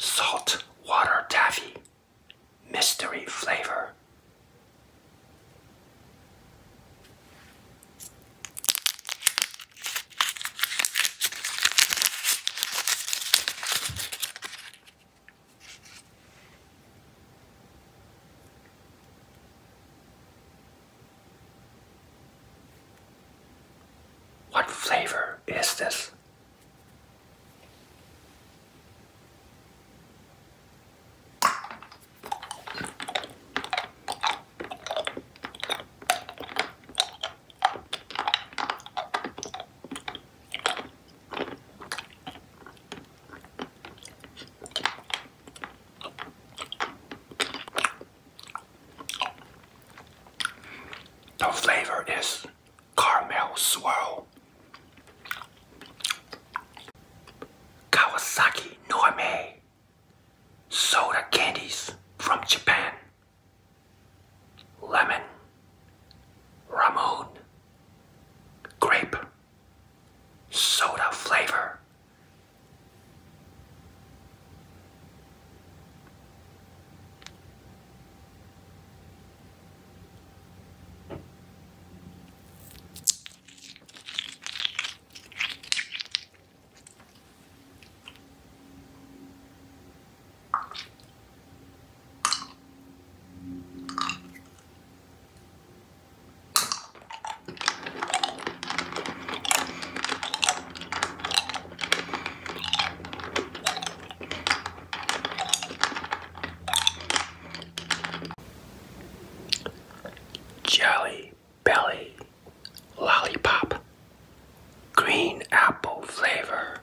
Salt water taffy, mystery flavor. What flavor is this? The flavor is caramel swirl. Kawasaki Norme soda candies from Japan. Lemon, Ramon, grape soda flavor. Jelly Belly Lollipop Green Apple Flavor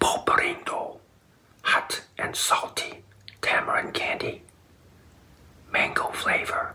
Poporindo, hot and salty tamarind candy, mango flavor.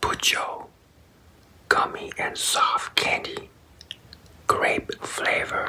Pucho gummy and soft candy grape flavor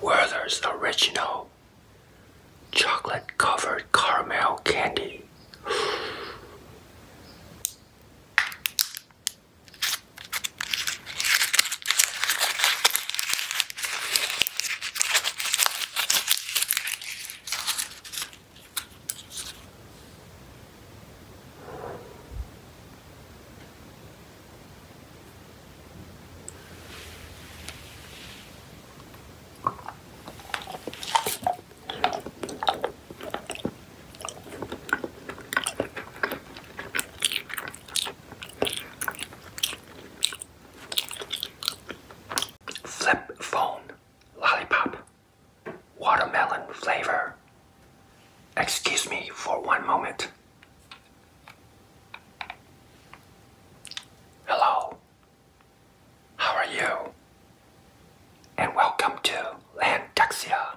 Where Werther's Original Chocolate Covered Caramel Candy. Flip phone lollipop watermelon flavor Excuse me for one moment. Hello, how are you? And welcome to Landexia.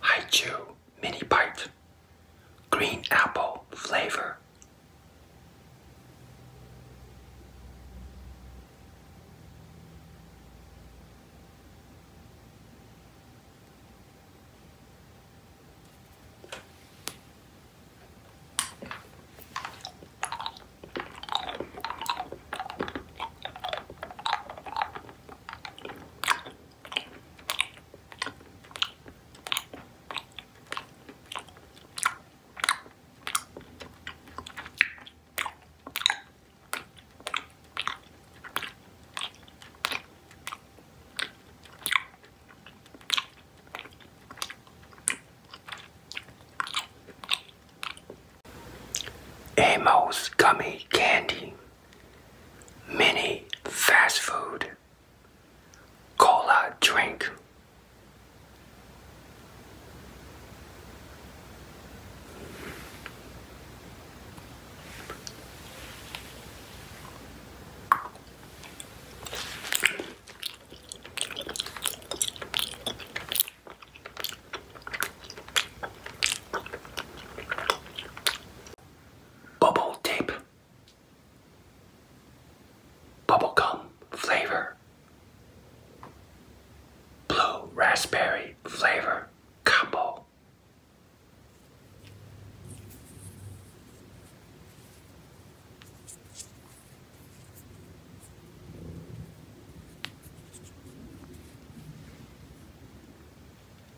Hi Chew Mini Bite Green Apple Flavor Amos Gummy Candy mini fast food cola drink. Bubble tape. Bubblegum flavor. Blue raspberry flavor combo.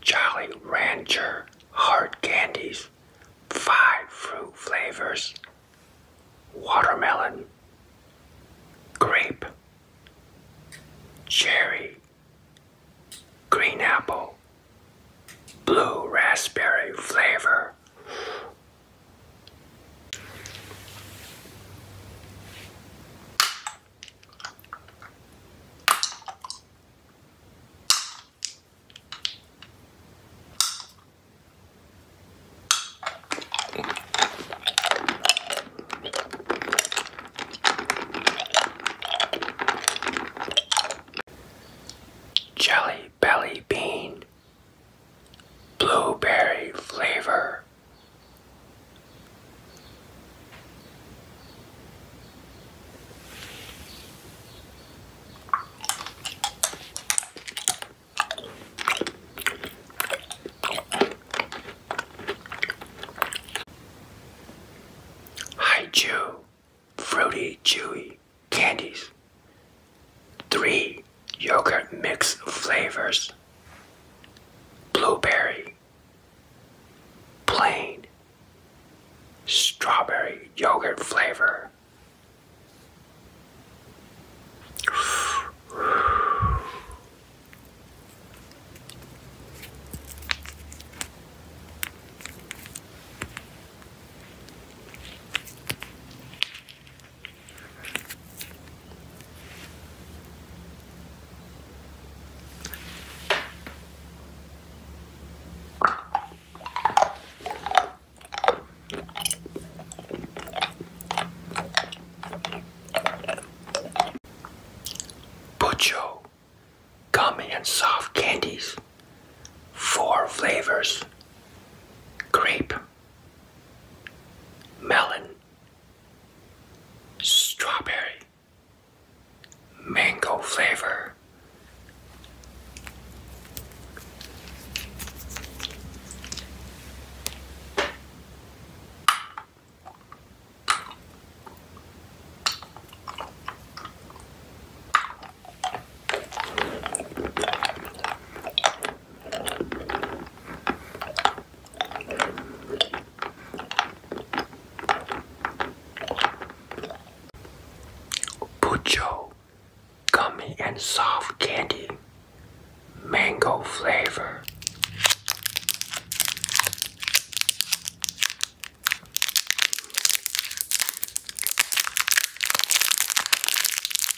Jolly Rancher hard candies, five fruit flavors, watermelon, grape, cherry, green apple, blue raspberry flavor, Jelly belly bean blueberry flavor. Hi Jew, fruity, chewy, candies. 3. Yogurt mix flavors. Blueberry. Plain. Strawberry yogurt flavor. Pucho gummy and soft candies, four flavors grape, melon, strawberry, mango flavor. Pucho gummy and soft candy mango flavor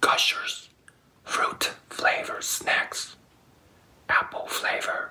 Gushers fruit flavor snacks, apple flavor.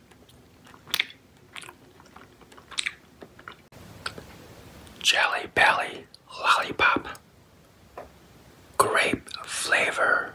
Jelly Belly Lollipop Grape Flavor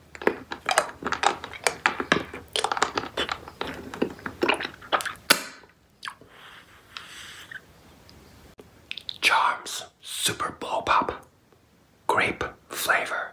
Charms Super Bowl Pop Grape Flavor.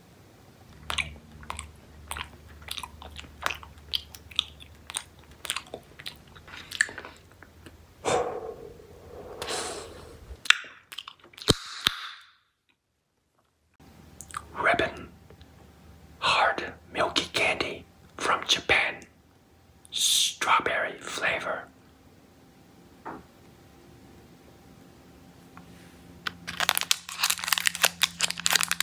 Ribbon hard milky candy from Japan strawberry flavor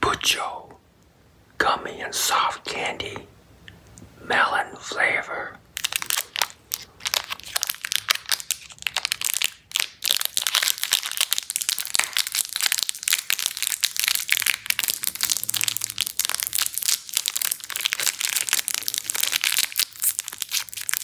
Pucho gummy and soft candy melon flavor.